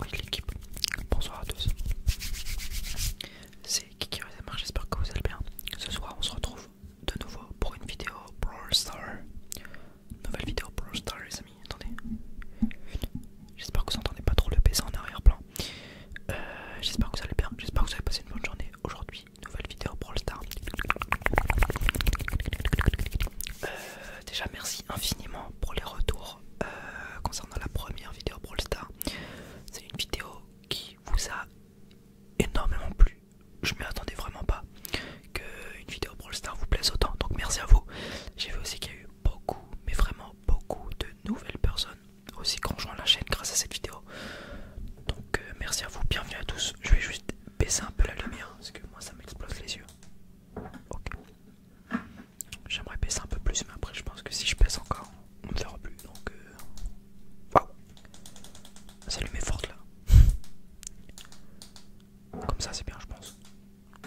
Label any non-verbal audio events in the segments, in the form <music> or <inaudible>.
Oui l'équipe, bonsoir à tous C'est Kiki Resemar, j'espère que vous allez bien Ce soir on se retrouve de nouveau pour une vidéo Brawl Star Nouvelle vidéo Brawl Star les amis, attendez J'espère que vous entendez pas trop le PC en arrière-plan euh, J'espère que vous allez bien, j'espère que vous avez passé une bonne journée Aujourd'hui nouvelle vidéo Brawl Star euh, déjà merci infiniment pour les retours euh, concernant la première vidéo Brawl star C'est une vidéo qui vous a énormément plu. Je m'y attendais vraiment pas qu'une vidéo Brawl star vous plaise autant. Donc merci à vous. J'ai vu aussi qu'il y a eu beaucoup, mais vraiment beaucoup de nouvelles personnes aussi qui ont rejoint la chaîne grâce à cette vidéo. Donc euh, merci à vous, bienvenue à tous. Je vais juste baisser un peu la lumière parce que moi ça m'explose les yeux. Ok. J'aimerais baisser un peu plus, mais après je pense que si je baisse encore, on ne verra plus. Donc, euh, waouh, ça allume met là. <laughs> Comme ça, c'est bien, je pense.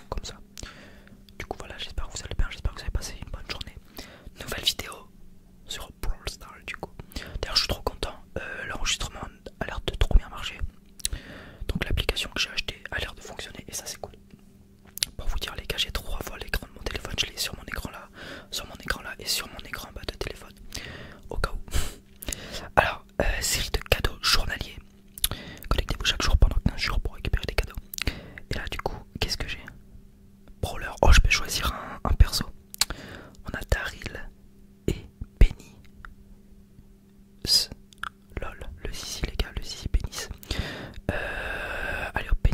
Comme ça. Du coup, voilà, j'espère que vous allez bien, j'espère que vous avez passé une bonne journée. Nouvelle vidéo sur Brawl Stars, du coup. D'ailleurs, je suis trop content. Euh, l'enregistrement a l'air de trop bien marcher. Donc l'application que j'ai acheté a l'air de fonctionner et ça c'est cool. Pour vous dire les gars, j'ai trois fois l'écran de mon téléphone, je l'ai sur mon écran là, sur mon écran là et sur mon écran bas de téléphone. Au cas où. <laughs> Alors, euh, série de cadeaux journaliers. Connectez-vous chaque jour pendant 15 jours pour récupérer des cadeaux. Et là du coup, qu'est-ce que j'ai Brawler, oh je peux choisir un, un perso. On a Daryl et Penny, Lol, le zizi les gars, le zizi pénis. Euh, allez hop,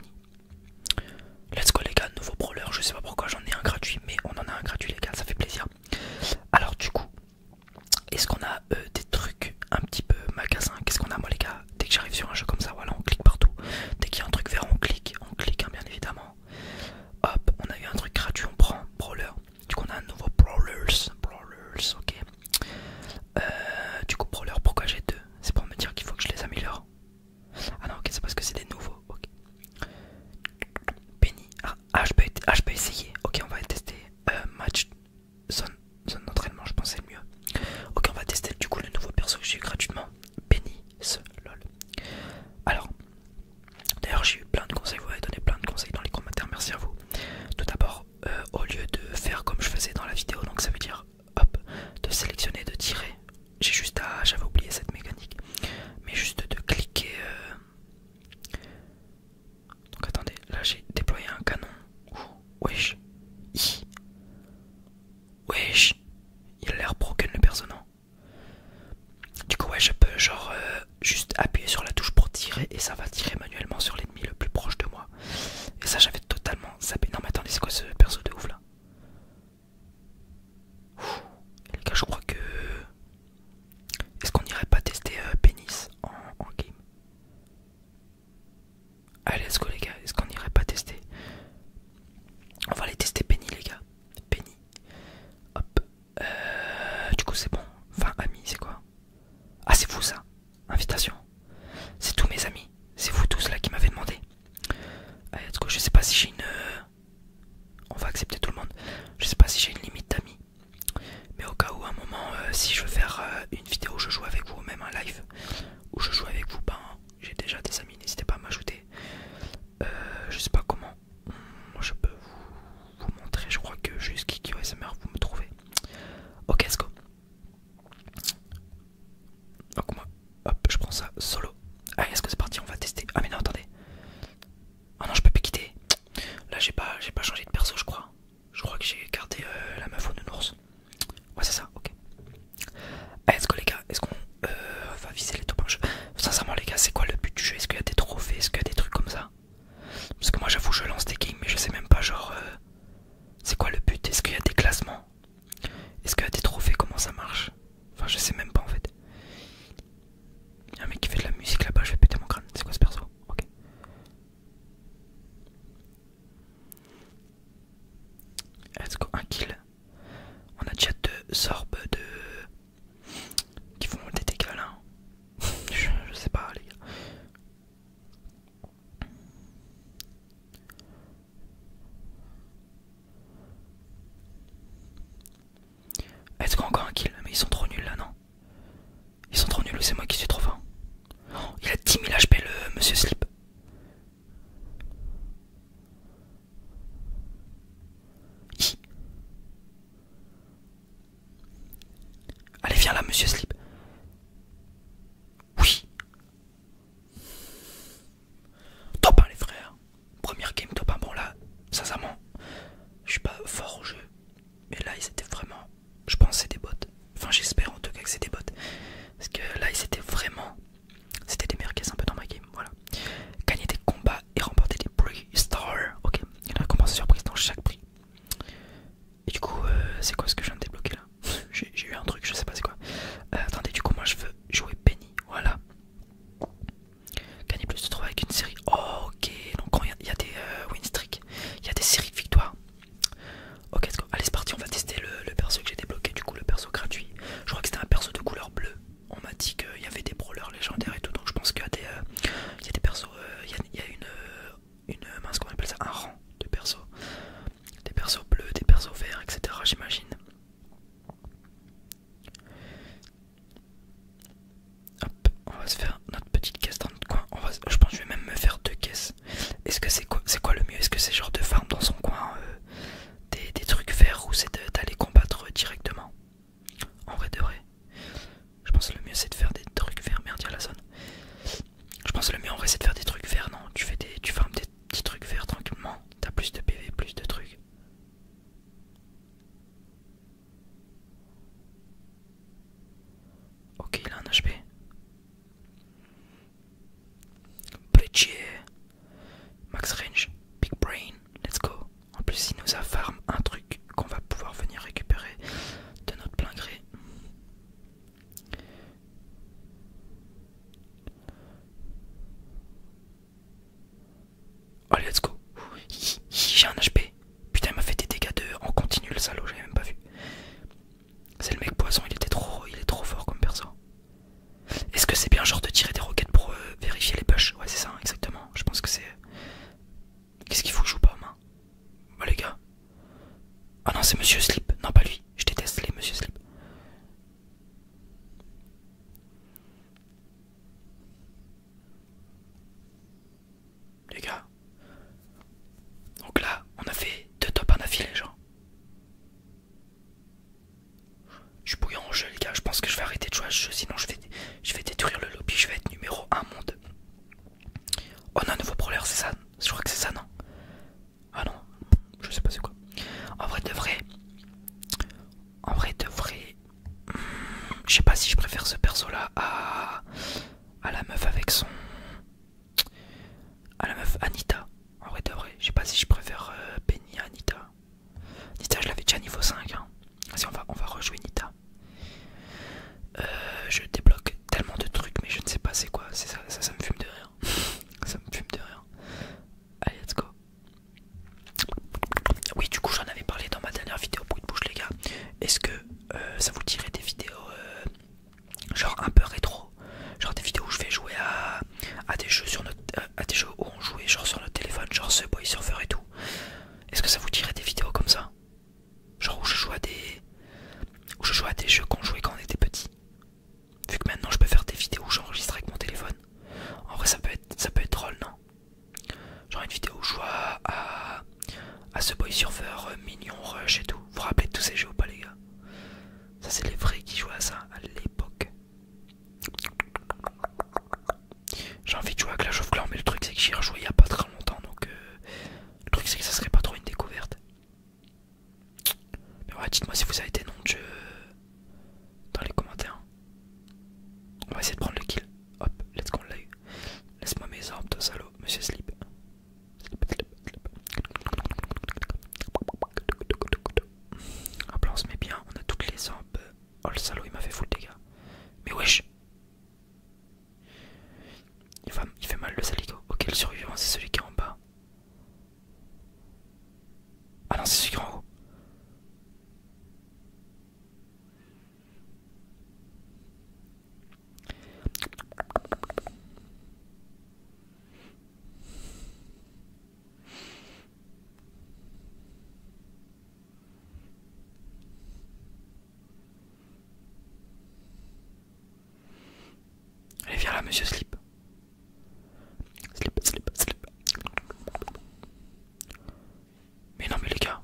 Let's go les gars, nouveau brawler, je sais pas pourquoi j'en ai un gratuit, mais on en a un gratuit les gars, ça fait plaisir. Alors du coup, est-ce qu'on a euh, des trucs un petit peu magasin Qu'est-ce qu'on a moi les gars Dès que j'arrive sur un jeu comme ça, voilà, on clique partout. Dès qu'il y a un truc vert, on clique, on clique hein, bien évidemment. Hop, on a eu un truc gratuit, on prend Brawler. Du coup, on a un nouveau Brawlers. Brawlers, ok. Euh, du coup, Brawler, pourquoi j'ai deux C'est pour me dire qu'il faut que je les améliore. Ah non, ok, c'est parce que c'est des nouveaux. Ok. Benny. Ah, ah, ah, je, peux, essayer. Ok, on va tester euh, match zone, zone d'entraînement, je pensais le mieux. Ok, on va tester du coup le nouveau perso que j'ai eu gratuitement. Benny. Alors, d'ailleurs, j'ai eu plein de conseils, vous avez donné plein de conseils dans les commentaires, merci à vous. Tout d'abord, euh, au lieu de faire comme je faisais dans la vidéo, donc ça veut dire hop, de sélectionner, de tirer. J'ai juste à. J'avais oublié cette mécanique, mais juste de cliquer. Euh, donc attendez, là j'ai déployé un canon. ou, wesh. Wesh. Il a l'air broken le personnage. Du coup ouais je peux genre euh, juste appuyer sur la touche pour tirer et ça va tirer manuellement sur l'ennemi le plus proche de moi. Et ça j'avais totalement ça Non mais attendez c'est quoi ce perso de ouf là Les gars je crois que... Est-ce qu'on irait pas tester euh, pénis en, game Allez let's go les gars, est-ce qu'on irait pas tester On va aller tester Penny les gars. Penny. Hop. Euh, du coup c'est bon. Enfin amis c'est quoi Ah c'est vous ça. Invitation. C'est tous mes amis. C'est vous tous là qui m'avez demandé. Euh, Allez Je sais pas si j'ai une... Euh, on va accepter tout le monde. Je sais pas si j'ai une limite d'amis. Mais au cas où à un moment si je veux faire une vidéo je joue avec vous, même un live où je joue avec vous, ben j'ai déjà des amis. N'hésitez pas à m'ajouter. je sais pas comment je peux vous, montrer. Je crois que juste Kiki SMR vous me trouvez. Ok, let's go. Donc moi, hop, je prends ça solo. Allez, est-ce que c'est parti On va tester. Ah mais non, attendez. Ah non, je peux pas quitter. Là, j'ai pas, j'ai pas changé de perso, je crois. Je crois que j'ai gardé euh, la meuf de nounours. Ouais, c'est ça. Ok. Allez, est-ce que les gars. Est-ce qu'on euh, va viser les top Sincèrement, les gars, c'est quoi le but du jeu Est-ce qu'il y a des trophées Est-ce qu'il y a des trucs comme ça Parce que moi, j'avoue, je lance des games, mais je sais même pas, genre, euh, c'est quoi le but Est-ce qu'il y a des classements Est-ce qu'il y a des trophées Comment ça marche Enfin, je sais même pas en fait. Il y a un mec qui fait de la musique là-bas, je vais péter mon crâne. C'est quoi ce perso Ok. Let's go, un kill. On a déjà deux sorbes de qui font des dégâts là. <laughs> je, sais pas, les gars. Est-ce qu'on a encore un kill Mais ils sont trop nuls là, non Ils sont trop nuls ou c'est moi qui suis trop fin oh, Il a 10 000 HP le monsieur Sleep. Allez, viens là, monsieur Sleep Oui. Topin les frères. Première game top 1. Bon là, sincèrement, je suis pas fort au jeu. Mais là, ils étaient vraiment... Je pense c'est des bots. Enfin, j'espère en tout cas que c'est des bots. Parce que là, ils étaient vraiment c'était des meilleurs un peu dans ma game, voilà. Gagner des combats et remporter des prix star Ok, il y a une récompense surprise dans chaque prix. Et du coup, euh, c'est quoi ce que je viens de débloquer là <laughs> J'ai eu un truc, je sais pas c'est quoi. Euh, attendez, du coup, moi je veux jouer Penny, voilà. Gagner plus de 3 avec une série. Oh, ok, donc quand il y, a des euh, win streak, il y a des séries de victoires. Ok, Allez, c'est parti, on va tester le, le perso que j'ai débloqué. Du coup, le perso gratuit. Je crois que c'était un perso de couleur bleue on m'a dit qu'il y avait des brawlers légendaires et tout, donc je pense qu'il y, a des euh, persos, euh, il y, a une, euh, une mince, qu'on appelle ça, un rang de persos, des persos bleus, des persos verts, etc. J'imagine. Hop, on va se faire notre petite caisse dans notre coin. On va, je pense je vais même me faire deux caisses. Est-ce que c'est quoi, c'est quoi le mieux Est-ce que c'est genre de farm dans son coin des, trucs verts où c'est d'aller combattre directement. En vrai de vrai, je pense le mieux c'est de faire des trucs verts. Merde, il la zone. Je pense le mieux en vrai c'est de faire des trucs verts. Non, tu fais des, tu farmes des petits trucs verts tranquillement. T'as plus de PV, plus de trucs. Ok, il a un HP. Max Range, Big Brain, let's go. En plus, il nous a farm un truc qu'on va pouvoir venir récupérer de notre plein gré. Allez, let's go. J'ai un HP. Putain, il m'a fait des dégâts de en continu le salaud, j'avais même pas vu. C'est le mec poison, il était trop il est trop fort comme perso. Est-ce que c'est bien genre de tirer des roquettes pour euh, vérifier les push Ouais c'est ça exactement, je pense que c'est... Euh, qu'est-ce qu'il faut que je joue pas main Bah les gars... Ah non c'est Monsieur Sleep, non pas lui, je déteste les Monsieur Sleep. Les gars... Donc là, on a fait deux top en les genre. Je suis bouillant au jeu, les gars. Je pense que je vais arrêter de jouer à ce jeu, sinon je vais, détruire le lobby. Je vais être numéro 1 monde. Oh, on a un nouveau brawler, c'est ça Je crois que c'est ça, non Ah non, je sais pas c'est quoi. En vrai, de vrai. En vrai, de vrai. Hmm, je sais pas si je préfère ce perso là à. à la meuf avec son. à la meuf Anita. En vrai, de vrai. Je sais pas si je préfère euh, Anita. Nita, je l'avais déjà niveau 5. Hein. Vas-y, on va, on va rejouer Nita. Euh, je débloque tellement de trucs, mais je ne sais pas c'est quoi. Ça, ça, me fume de rien <laughs> ça me fume de rien Allez, let's go. Oui, du coup, j'en avais parlé dans ma dernière vidéo pour de bouche, les gars. Est-ce que euh, ça vous dirait des vidéos euh, genre un peu rétro genre des vidéos où je vais jouer à, des jeux sur notre euh, à des jeux où on jouait genre sur notre téléphone genre ce boy surfer et tout est-ce que ça vous dirait des vidéos comme ça genre où je joue à des où je joue à des jeux qu'on jouait quand on était petit vu que maintenant je peux faire des vidéos où j'enregistre avec mon téléphone en vrai ça peut être ça peut être drôle non genre une vidéo où je joue à, à, ce boy surfer euh, mignon rush et tout vous vous rappelez de tous ces jeux ou pas les gars ça c'est les vrais qui jouaient à ça à l'époque j'ai envie de jouer à Clash of Clans, mais le truc c'est que j'y ai rejoué il y a pas très longtemps donc euh, le truc c'est que ça serait pas trop une découverte. Mais ouais, dites-moi si vous avez été non de dans les commentaires. On va essayer de prendre le kill. Hop, let's go, on l'a eu. Laisse-moi mes armes, toi salaud, monsieur Sleep. slip là, on se met bien, on a toutes les armes. Oh le salaud, il m'a fait full dégâts. Mais wesh il, fait mal le salico. Ok, le survivant, c'est celui qui est en bas. Ah non, c'est celui qui est en haut. Allez, viens là, monsieur Slip. Slip, slip, slip. Mais non, mais les gars,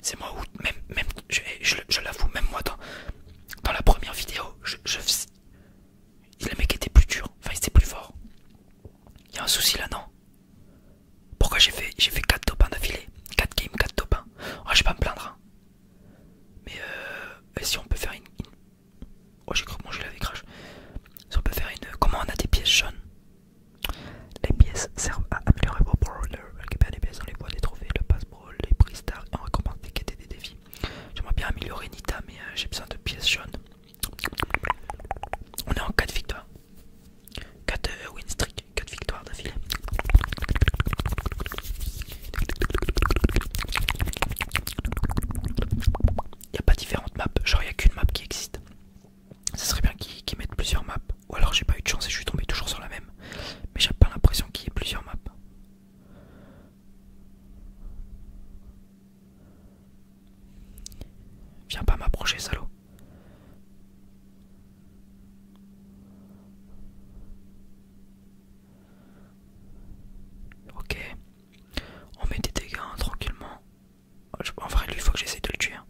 c'est moi ou même, même je, je, je l'avoue, même moi dans, dans la première vidéo, je, je, le mec était plus dur, enfin il était plus fort. Il y a un souci là, non Pourquoi j'ai fait j'ai fait 4 top 1 d'affilée 4 games, 4 top 1. Ah, je vais pas me plaindre. Hein. Mais euh, et si on peut faire une. Oh, j'ai cru que mon gilet Si on peut faire une. Comment on a des pièces jaunes Les pièces servent à améliorer vos brawlers, récupérer les pièces dans les bois, des trophées, le passe brawl, les prix stars on on quêtes des défis. J'aimerais bien améliorer Nita, mais euh, j'ai besoin de pièces jaunes. On est en 4 victoires. 4 euh, win streak, 4 victoires d'affilée. Il n'y a pas différentes maps, genre il n'y a qu'une map qui existe. Ce serait bien qu'ils mettent plusieurs maps. Ou alors j'ai pas eu de chance et je suis tombé toujours sur la même. Mais j'ai pas l'impression qu'il y ait plusieurs maps. Viens pas m'approcher, salaud. Ok. On met des dégâts hein, tranquillement. En vrai, lui, il faut que j'essaie de le tuer. Hein.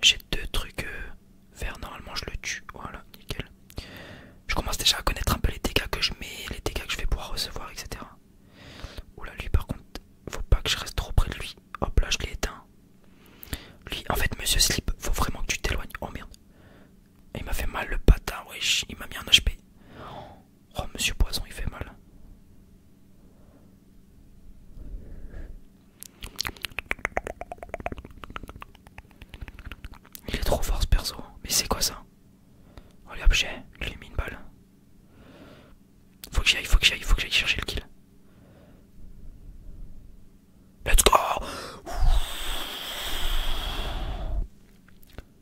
J'ai deux trucs euh, normalement je le tue. Voilà, nickel. Je commence déjà à connaître un peu les dégâts que je mets, les dégâts que je vais pouvoir recevoir, etc. Oula, lui par contre, faut pas que je reste trop près de lui. Hop là, je l'ai éteint. Lui, en fait, monsieur Slip, faut vraiment que tu t'éloignes. Oh merde. Il m'a fait mal le patin, wesh. Il m'a mis un HP. Oh, monsieur Poison, il fait mal. Il est trop fort ce perso. Mais c'est quoi ça Oh les objets, il lui ai mis une balle. Faut que j'aille, faut que j'aille, faut que j'aille chercher le kill. Let's go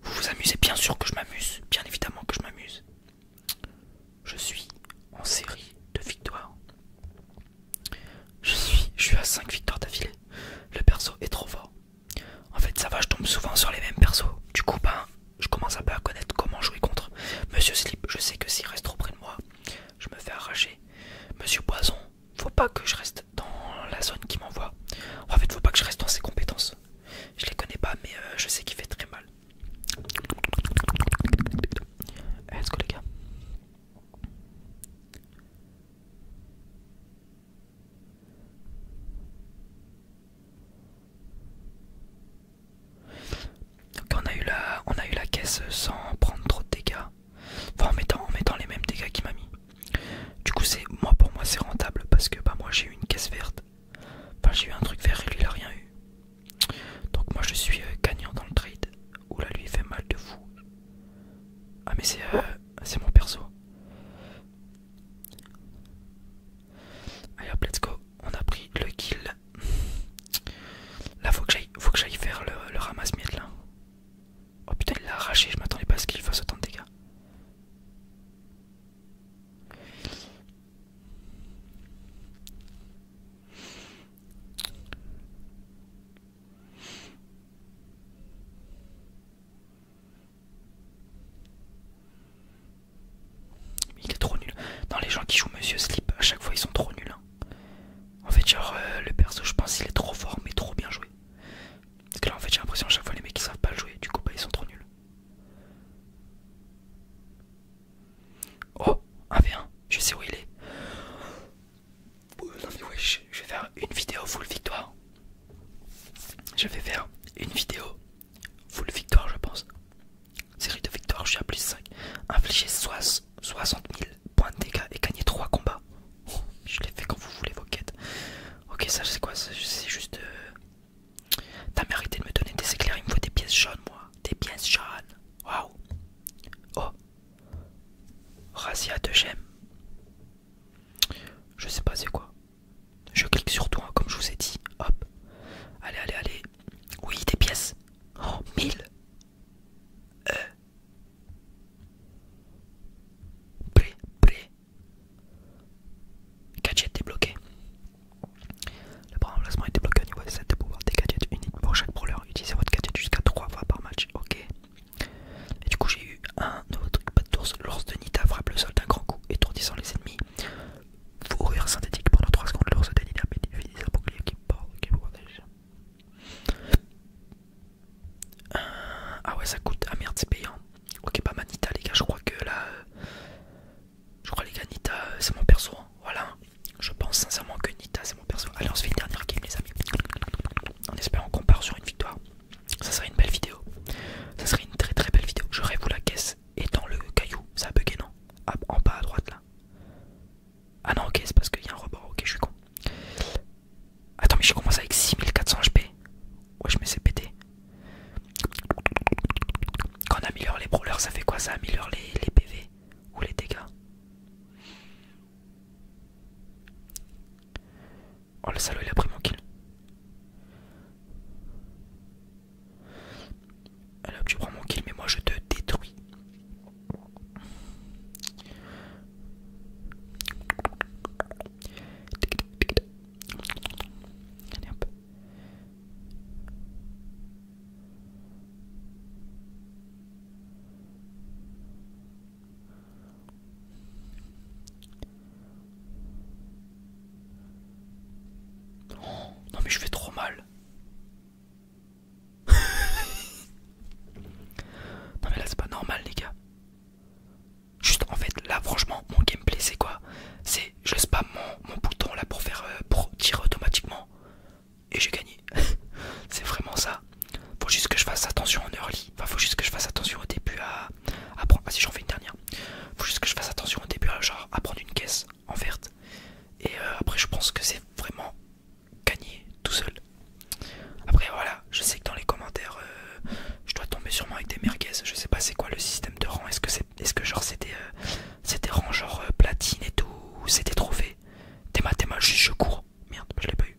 Vous vous amusez Bien sûr que je m'amuse, bien évidemment que je m'amuse. Je suis en série de victoires. Je suis, je suis à 5 victoires d'affilée. Le perso est trop fort. En fait, ça va, je tombe souvent sur les mêmes persos. Du coup, ben, je commence à pas à connaître comment jouer contre. Monsieur Slip, je sais que s'il reste trop près de moi, je me fais arracher. Monsieur Poison, faut pas que je reste dans la zone qui m'envoie. En fait, faut pas que je reste dans ses compétences. Je les connais pas, mais euh, je sais qu'il fait très mal. Let's go, les gars on a eu la, caisse sans prendre trop de dégâts. Enfin en mettant, mettant les mêmes dégâts qu'il m'a mis. Du coup c'est moi pour moi c'est rentable parce que bah moi j'ai eu une caisse verte. Enfin j'ai eu un truc vert et lui il a rien eu. Donc moi je suis euh, gagnant dans le trade. Oula lui il fait mal de fou. Ah mais c'est euh, c'est mon perso. Allez hop let's go. On a pris le kill. Là faut que j'aille faut que j'aille faire le, ramasse miette là. Oh putain il l'a arraché, je m'attendais pas à ce qu'il fasse autant de dégâts. Il est trop nul. Dans les gens qui jouent Monsieur Sleep, à chaque fois ils sont trop nuls. Hein. En fait, genre, euh, le perso, je pense, qu'il est trop fort mais trop bien joué. Parce que là, en fait, j'ai l'impression à chaque fois les mecs qui savent pas le jouer, du coup, bah, ils sont trop nuls. Oh, 1 je sais où il est. Euh, je vais faire une vidéo full victoire. Je vais faire une vidéo full victoire je pense. Série de victoire, je suis à plus 5. Infliger 60 000 points de dégâts et gagner 3 combats. Oh, je l'ai fait quand vous voulez vos quêtes. Ok ça c'est quoi C'est juste... Euh, t'as mérité de me donner des éclairs, il me faut des pièces jaunes moi. Des pièces jaunes. Waouh. Oh, Razia de j'aime. Je sais pas c'est quoi. Je clique sur toi, comme je vous ai dit. Hop. Allez, allez, allez. Oui, des pièces. Oh, 1000. Euh. prêt. Gadget débloqué. Le premier emplacement est débloqué au niveau 7 de pouvoir des gadgets uniques pour chaque brawler. Utilisez votre gadget jusqu'à 3 fois par match. Ok. Et du coup, j'ai eu un nouveau truc pas de d'ours. lors de Nita frappe le sol d'un grand coup, étourdissant les ennemis. Fourrure synthétique pendant 3 secondes. lors de Nita bénéficie un bouclier qui porte. Euh, ah ouais, ça coûte. Ah merde, c'est payant. Ok, pas bah, ma Nita, les gars. Je crois que là. je crois, les gars, Nita, euh, c'est mon perso. Hein. Voilà, je pense sincèrement que Nita c'est mon perso. Allez, on se fait une dernière game, les amis. En espérant qu'on part sur une victoire. Ça serait une belle vidéo. Ça serait une très très belle vidéo. Je rêve où la caisse et dans le caillou. Ça a bugué, non ah, En bas à droite là. Ah non, ok, c'est parce qu'il y a un rebord. Ok, je suis con. Attends, mais je commence avec 6400 HP. Ouais, je me suis pété. Quand on améliore les brawlers, ça fait quoi Ça améliore les PV ou les dégâts. Oh le salaud il a pris mon kill. Alors tu prends mon kill mais moi je te détruis. un peu non mais je fais trop mal. non mais là c'est pas normal les gars. Juste en fait là franchement mon gameplay c'est quoi C'est je spam mon, bouton là pour faire euh, pour tirer automatiquement et j'ai gagné. <laughs> c'est vraiment ça. Faut juste que je fasse attention en early. Enfin, faut juste que je fasse attention au début à, prendre. Ah, si j'en fais une dernière. Faut juste que je fasse attention au début à, genre, à prendre une caisse en verte. Et euh, après, je pense que c'est vraiment gagné tout seul. Après, voilà, je sais que dans les commentaires, euh, je dois tomber sûrement avec des merguez. Je sais pas c'est quoi le système de rang. Est-ce que c'est est-ce que genre c'était euh, c'était rang genre euh, platine et tout ou c'était trophée t'es téma, juste je cours merde je l'ai pas eu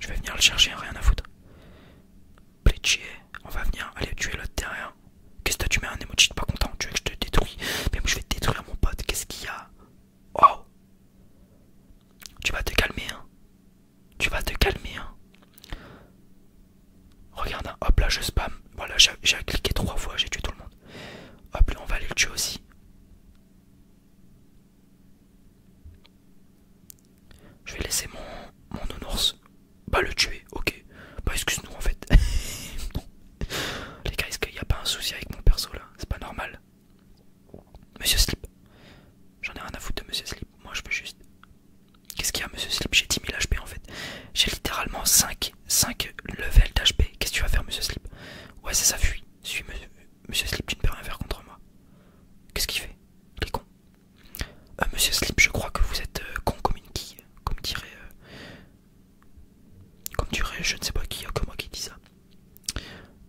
je vais venir le chercher rien à foutre Pletier on va venir aller tuer l'autre derrière qu'est-ce que tu mets un emoji pas content tu veux que je te détruis mais moi je vais te détruire mon pote qu'est-ce qu'il y a oh tu vas te calmer hein tu vas te calmer hein Regarde, hein. hop là je spam. Voilà, j'ai cliqué trois fois, j'ai tué tout le monde. Hop là, on va aller le tuer aussi. Je vais laisser mon, mon nounours. Bah le tuer, ok. Bah excuse-nous en fait. <laughs> Les gars, est-ce qu'il n'y a pas un souci avec mon perso là C'est pas normal. Monsieur Sleep, J'en ai rien à foutre de Monsieur Sleep, Moi je peux juste... Qu'est-ce qu'il y a Monsieur Sleep, J'ai 10 000 HP en fait. J'ai littéralement 5 5 level d'HP. Qu'est-ce que tu vas faire, monsieur Slip Ouais, c'est ça, fuit. Suis, monsieur, monsieur Slip, tu ne peux rien faire contre moi. Qu'est-ce qu'il fait Il est con. Euh, monsieur Slip, je crois que vous êtes euh, con comme une qui Comme dirait. Euh, comme dirait, je ne sais pas qui, que moi qui dit ça.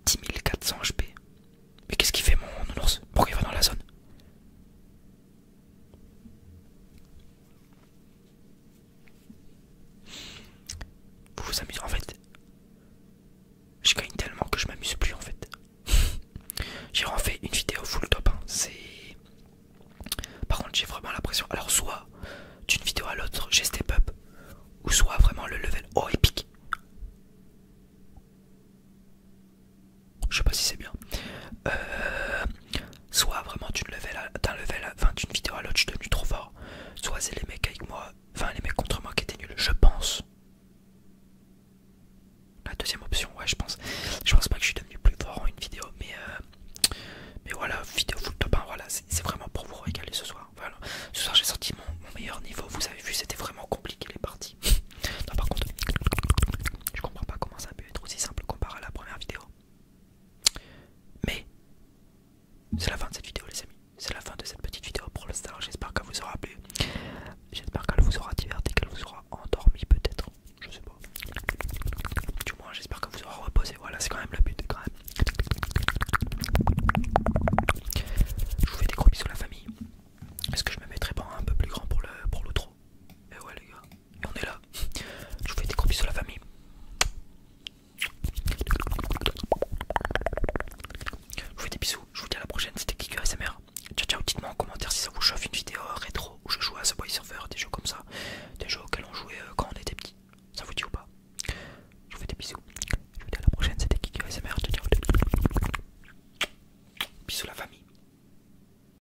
10 400 HP. Mais qu'est-ce qu'il fait, mon ours Pourquoi il va dans la zone vous vous amusez en fait. Je gagne tellement que je m'amuse plus en fait. <laughs> j'ai refait une vidéo full top. Hein. C'est. Par contre j'ai vraiment l'impression, Alors soit d'une vidéo à l'autre j'ai step up. Ou soit vraiment le level haut oh, épique. Je sais pas si c'est bien. Euh... Soit vraiment d'une level d'une vidéo à l'autre, je suis devenu trop fort. Soit c'est les mecs avec moi, enfin les mecs contre moi qui étaient nuls, je pense. La deuxième option, ouais, je pense. Je pense pas que je suis devenu plus fort en une vidéo, mais euh, mais voilà, vidéo full top voilà, c'est vraiment pour vous régaler ce soir. Voilà, ce soir j'ai sorti mon, meilleur niveau, vous avez vu, c'était vraiment compliqué les parties. <laughs> non, par contre, je comprends pas comment ça peut être aussi simple comparé à la première vidéo. Mais c'est la fin de cette vidéo les amis. C'est la fin de cette petite vidéo pour le star. J'espère qu'elle vous aura plu. J'espère qu'elle vous aura diverti, qu'elle vous aura endormi peut-être. Je sais pas. Du moins j'espère que vous aura reposé. Voilà, c'est quand même le but quand même. Je vous fais des gros bisous la famille. Est-ce que je me mettrai pas un peu plus grand pour le pour Et eh ouais les gars et on est là. Je vous fais des gros bisous à la famille. Je vous fais des bisous, je vous dis à la prochaine, c'était Kiku SMR. Ciao ciao, dites-moi en commentaire si ça vous chauffe une vidéo rétro où je joue à ce Boy Surfer, des jeux comme ça, des jeux auxquels on jouait euh, quand on était petit. Ça vous dit ou pas Je vous fais des bisous. Je vous dis à la prochaine, c'était Kiku SMR. ciao. Bisous la famille.